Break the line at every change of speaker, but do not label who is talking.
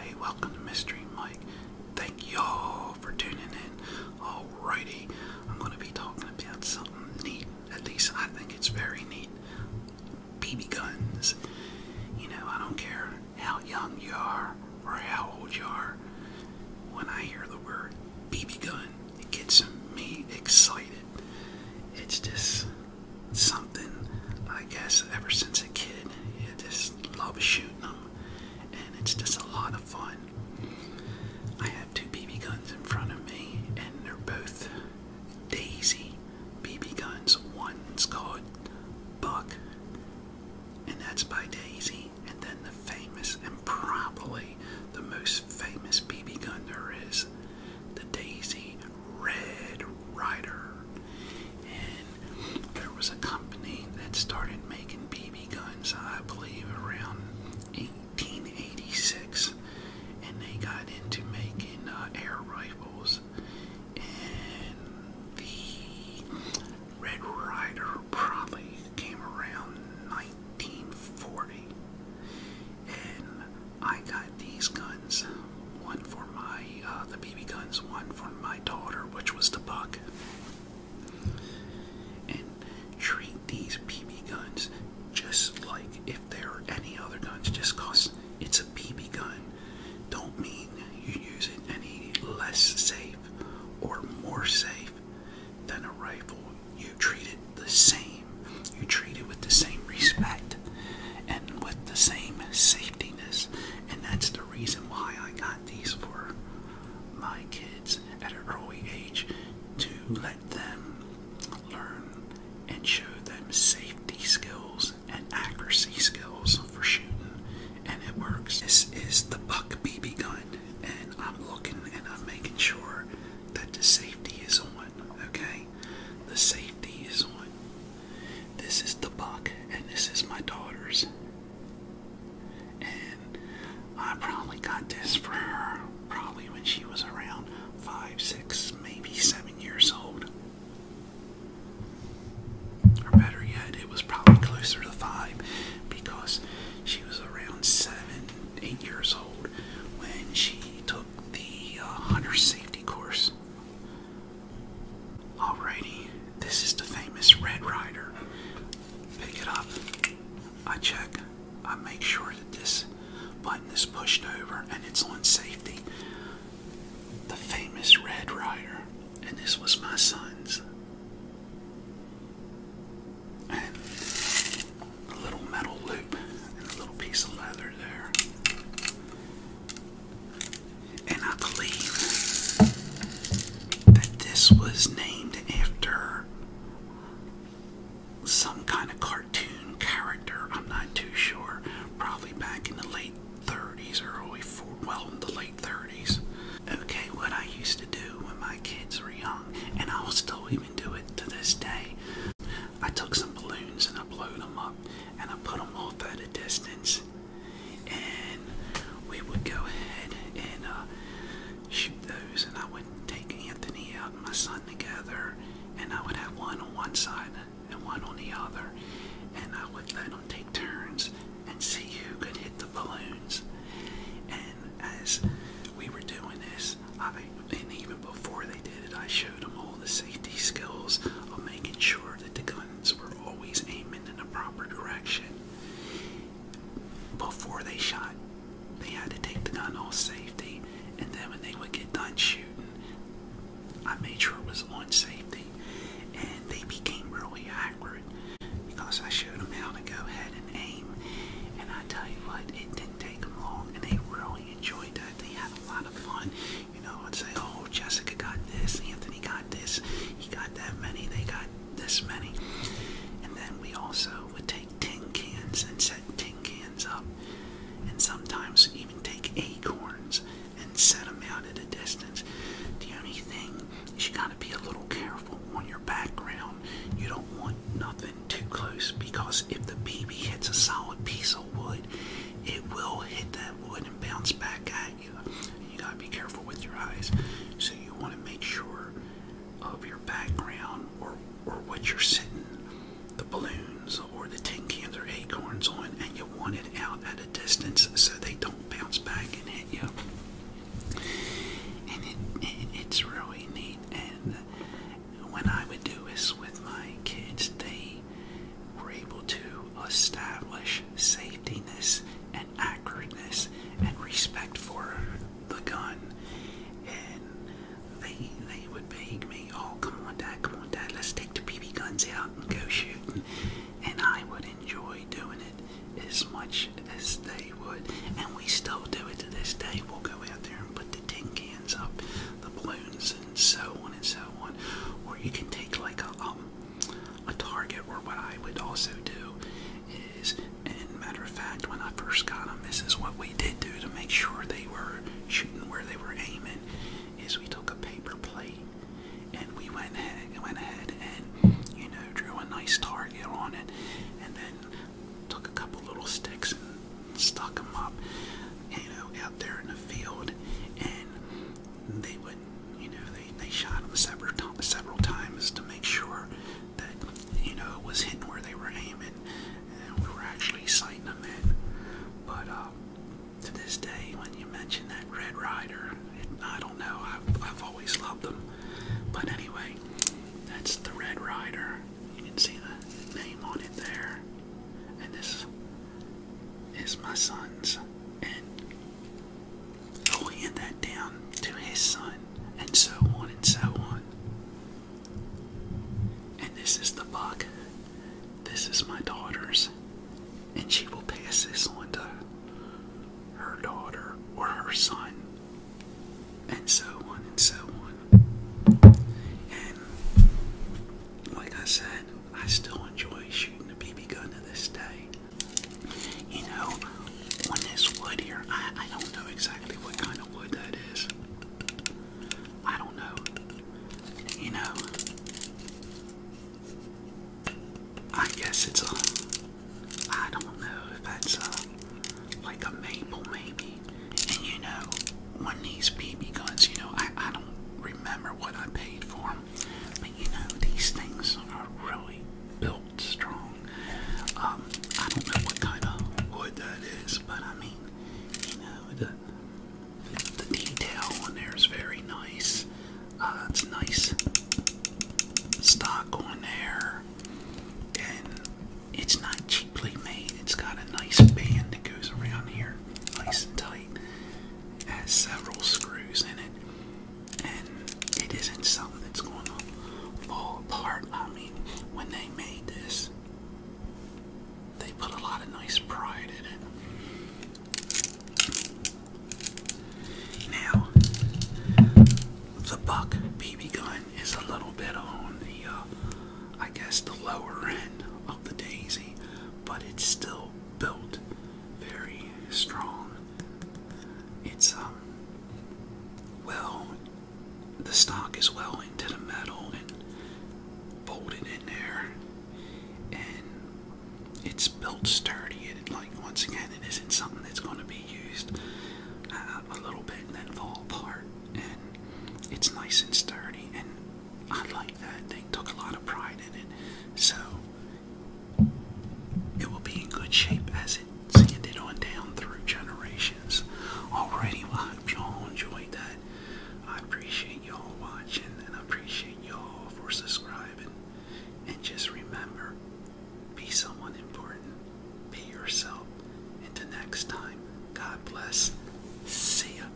Hey, welcome to Mystery Mike. Thank y'all for tuning in. All righty, I'm going to be talking about something neat. At least I think it's very neat. BB guns. You know, I don't care how young you are or how old you are. When I hear the word BB gun, it gets me excited. It's just something, I guess, ever since a kid, I just love shooting them, and it's just a lot of fun. I have two BB guns in front of me, and they're both Daisy BB guns. One's called Buck, and that's by Daisy, and then the famous and probably the most famous BB gun there is, the Daisy Red Rider and there was a company that started making BB guns, I believe, around 1886, and they got into making uh, air rifles. And the Red Rider probably came around 1940, and I got these guns one for my uh, the BB guns, one for my daughter, which was the buck, and treat these BB guns just like if there are any other guns. Just cause it's a BB gun, don't mean you use it any less safe or more safe than a rifle. You treat it the same. You treat it with the same respect and with the same safetiness and that's the reason why I got these for my kids at an early age to let them learn and show them safety skills and accuracy skills for shooting. And it works. This is the Buck BB gun, and I'm looking and I'm making sure that the safety is on. Okay, the safety is on. This is the buck, and this is my daughter's. And I probably got this for her probably when she was around five, six, maybe seven years old. Or better yet, it was probably closer to five because she was around seven, eight years old when she took the uh, hunter safety course. Alrighty, this is the famous Red Rider. Pick it up. I check. I make sure that this button is pushed over and it's on safety. The famous Red Rider. And this was my son's. And a little metal loop and a little piece of leather there. And I believe that this was named after some kind of cartoon character. I'm not too sure. Probably back in the late 30s or early 40s. Well, in the late 30s. Okay, what I used to do when my kids were young, and I'll still even do it to this day. I took some balloons and I blew them up and I put them off at a distance and we would go ahead and uh, shoot those. And I would take Anthony out my son together, and I would have one on one side and one on the other, and I would let them take turns and see who could hit the balloons. And as we were doing this, I and even before they did it, I showed them all the safety skills of making sure that the gun guns were always aiming in the proper direction. Before they shot, they had to take the gun off safety, and then when they would get done shooting, I made sure it was on safety, and they became really accurate because I showed them how to go ahead and aim. And I tell you what, it didn't take them long, and they really enjoyed it. They had a lot of fun you know, and say, oh, Jessica got this, Anthony got this, he got that many, they got this many. And then we also would take tin cans and set tin cans up, and sometimes even take acorns and set them out at a distance. The only thing is you gotta be a little careful on your background. You don't want nothing too close because if the BB hits a solid piece of wood, it will hit that wood and bounce back at you. gotta be careful with your eyes. So you want to make sure of your background or or what you're sitting the balloons or the tin cans or acorns on, and you want it out at a distance so they don't bounce back and hit you. And it's really neat. And when I would do this with my kids, they we are able to establish safetyness and accuracy and respect for the gun. And they they would beg me, oh come on dad, come on dad, let's take the BB guns out and go shooting. And I would enjoy doing it as much as they would. And we still do it to this day. We'll go out there and put the tin cans up, the balloons and so on and so on. Or you can take like a a target, or what I would also do is, and matter of fact, when I first got them, this is what we did do to make sure they were shooting where they were aiming, is we took a paper plate and we went ahead, went ahead and you know drew a nice target on it, and then took a couple little sticks and stuck them up, you know, out there in the field, they would, you know, they, they shot him several, several times to make sure that, you know, it was hitting where they were aiming. And we were actually sighting them in. But uh, to this day, when you mention that Red Rider, it, I don't know, I've, I've always loved them. But anyway, that's the Red Rider. You can see the name on it there. And this is my son's, and i oh, hand that down to his son, and so on and so on. And this is the buck. This is my daughter's, and she will pass this on to her daughter or her son, and so on and so on. And like I said, I still enjoy shooting a BB gun to this day. You know, on this wood here, I, I don't know exactly what kind of wood that is. I don't know. You know, I guess it's a. I don't know if that's a. Like a maple, maybe. And you know, on these BB guns, you know, I, I don't remember what I paid for them. Um, but you know, these things are really built strong. Um, I don't know what kind of wood that is, but I mean, you know, the, the, detail on there is very nice. Uh, it's nice stock on there, and it's not cheaply made. It's got a nice band that goes around here, nice and tight has several screws in it, and it isn't something that's going to fall apart. I mean, when they made this, they put a lot of nice pride in it. Now, the Buck BB gun is a little bit on the, uh, I guess, the lower end of the Daisy, but it's still built, very strong. It's um well the stock is well into the metal and bolted in there and it's built sturdy and like once again it isn't something that's going to be used uh, a little bit and then fall apart and it's nice and sturdy and I like that. They took a lot of pride in it. So it will be in good shape as it's handed on down through generations. Already, well, I hope y'all enjoyed that. I appreciate y'all watching and I appreciate y'all for subscribing. And just remember, be someone important. Be yourself. Until next time, God bless. See ya.